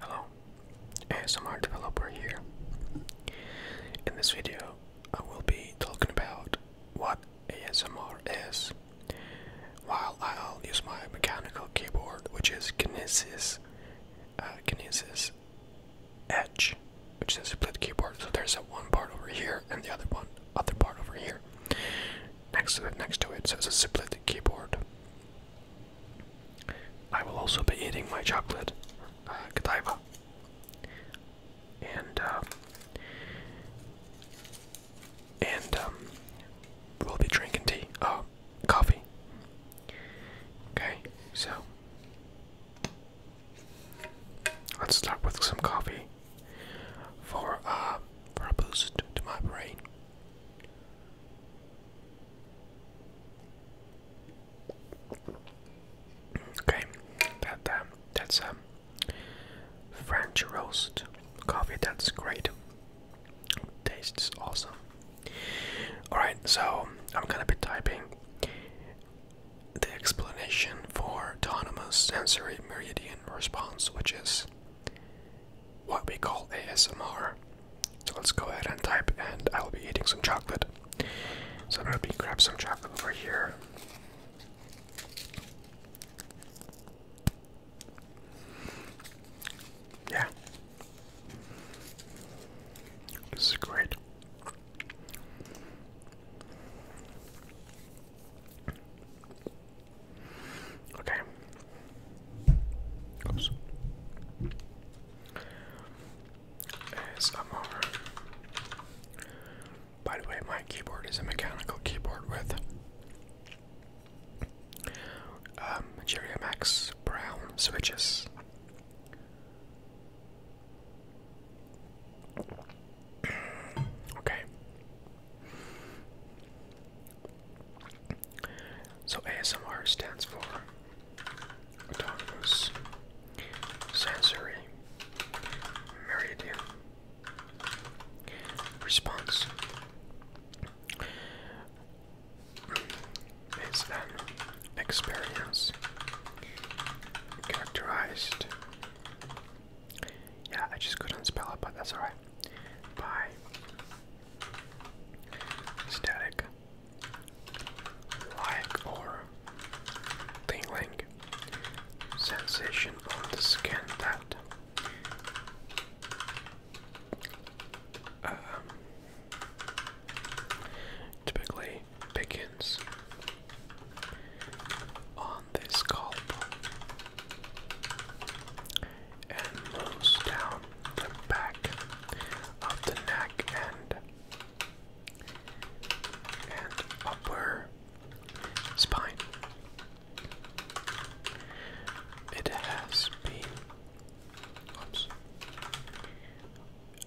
Hello, ASMR developer here. In this video, I will be talking about what ASMR is, while I'll use my mechanical keyboard, which is Kinesis, uh, Kinesis Edge, which is a split keyboard. So there's a one part over here and the other one, other part over here, next to it, next to it. So it's a split keyboard. I will also be eating my chocolate, uh, And, um, and, um, we'll be drinking tea, uh, coffee. Okay, so, let's start with some coffee for, uh, for a boost to my brain. Okay, that uh, that's a um, French roast coffee. That's great. Tastes awesome. All right, so I'm gonna be typing the explanation for autonomous sensory meridian response, which is what we call ASMR. So let's go ahead and type, and I'll be eating some chocolate. So I'm gonna be grab some chocolate over here. Yeah. This is great. Okay, by the way, my keyboard is a mechanical keyboard with um, Jerry Max Brown switches. okay. So ASMR stands for autonomous sensory meridian response. Hmm, it's an experience characterized. Yeah, I just couldn't spell it, but that's alright. By Static. Like or tingling sensation on the skin that um, typically begins on the scalp and moves down the back of the neck and upper spine. It has been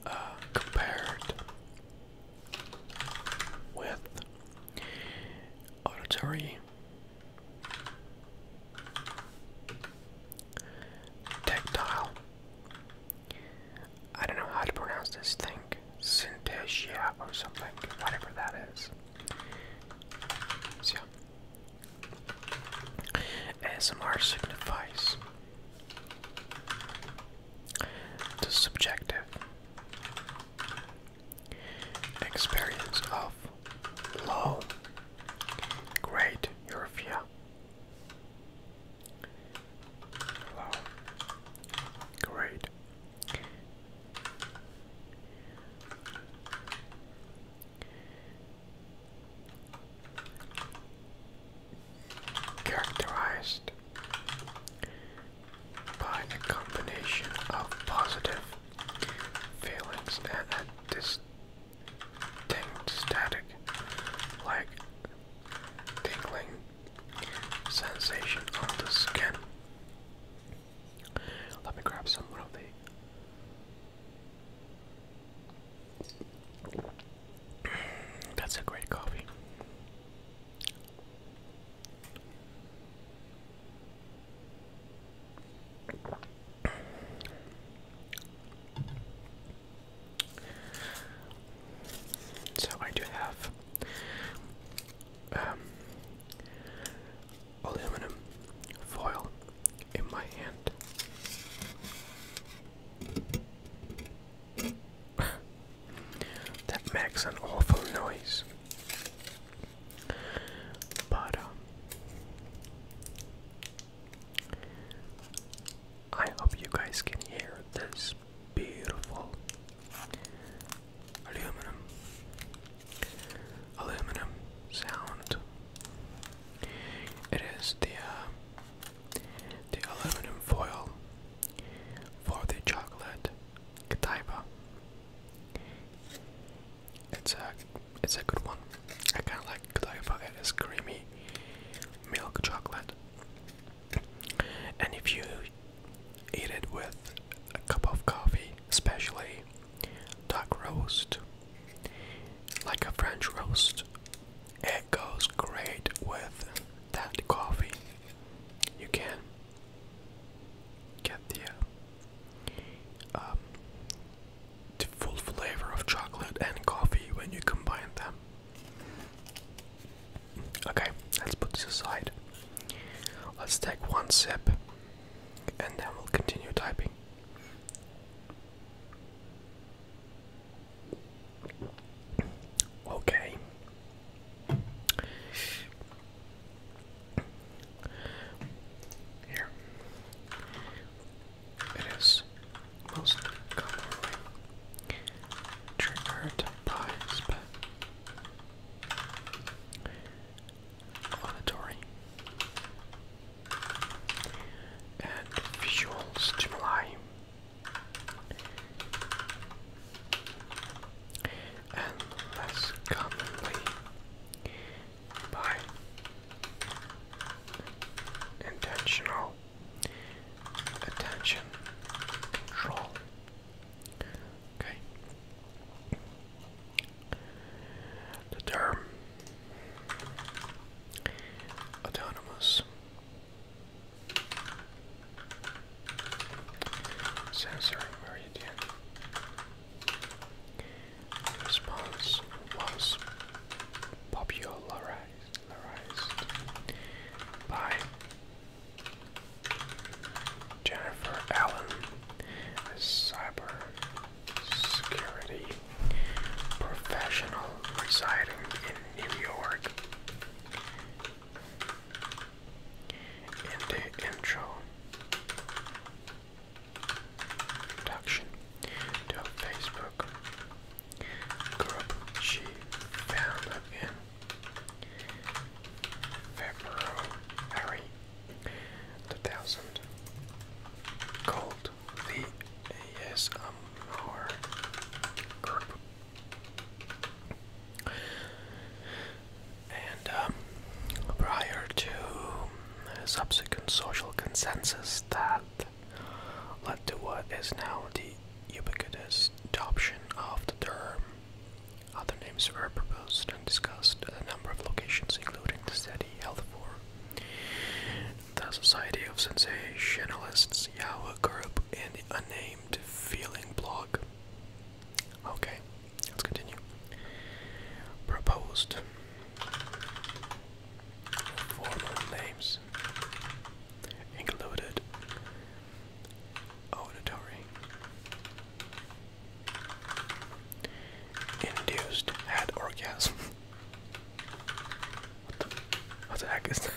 uh, compared with auditory Tactile. I don't know how to pronounce this thing. Synthesia or something, whatever that is. So, ASMR signifies the subjective experience of Low. Oh. Great, Eurofia. Low. Great. Characterized by a combination of positive feelings and a dis Dinged static, like tingling sensation on the skin. Let me grab some of the. Mm, that's a great coffee. So I do have um, aluminum foil in my hand. that makes an awful noise. But um, I hope you guys can hear this beautiful aluminum aluminum sound. It is the uh, the aluminum foil for the chocolate Godiva. It's a it's a good one. I kind of like Godiva. It is creamy milk chocolate. And if you eat it with a cup of coffee, especially duck roast, like a French roast, it goes great with that coffee. You can get the uh, um, the full flavor of chocolate and coffee when you combine them. Okay, let's put this aside. Let's take one sip and then we'll continue typing. Okay. Here. It is most commonly triggered by spit. and visual stimuli, and less commonly by intentional attention control. Okay. The term autonomous sensory meridian response was popularized by Jennifer Allen, a cyber security professional residing in New York. In the intro, introduction to a Facebook group she founded in February 2000 called the ASMR group. And um, prior to subsequent social consensus that led to what is now the ubiquitous adoption of the term. Other names were proposed and discussed at a number of locations, including the city Health the Society of Sensationalists Yahoo Group, and the unnamed Feeling Blog. Okay, let's continue. Proposed former names included auditory, induced head orgasm. what, the, what the heck is that?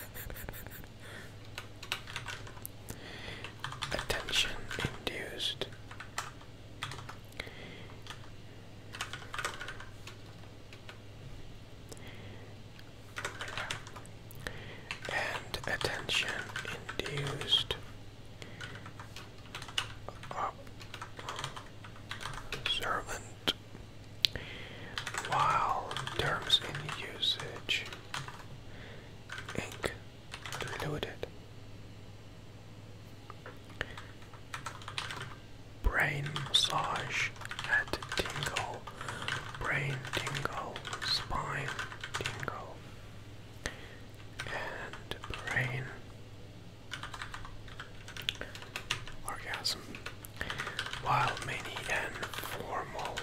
Attention induced and attention induced observant while terms in usage ink diluted Brain massage head tingle, brain tingle, spine tingle, and brain orgasm. While many and formal,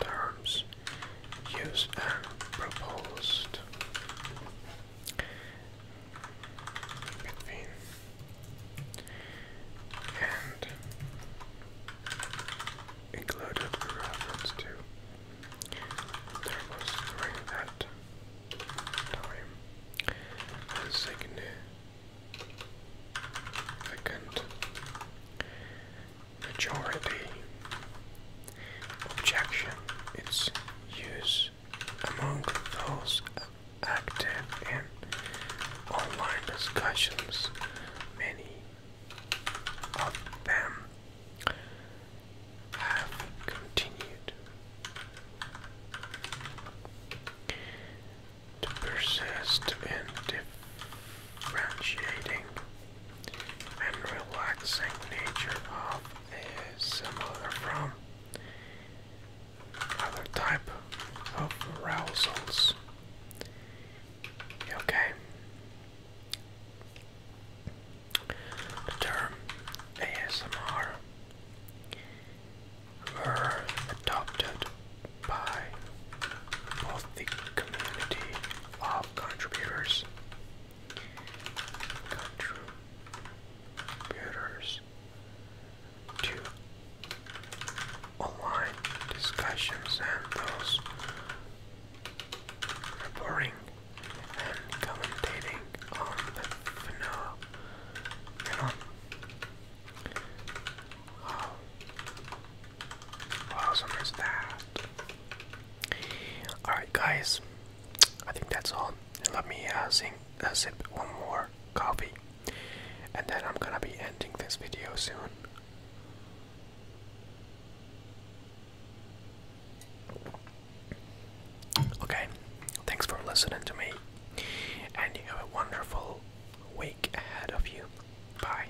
terms use and proposed between and included reference to there was during time a significant majority objection its use among those active in online discussions, many of them have continued to persist in differentiating and relaxing nature of is similar from other type of arousals. Okay. The term ASMR were adopted by both the community of contributors, to online discussions and those reporting and commentating on the phenomenon awesome is that? Alright, guys, I think that's all. let me uh, sing, uh, sip one more coffee, and then I'm gonna be ending this video soon. Okay, thanks for listening to me, and you have a wonderful week ahead of you. Bye.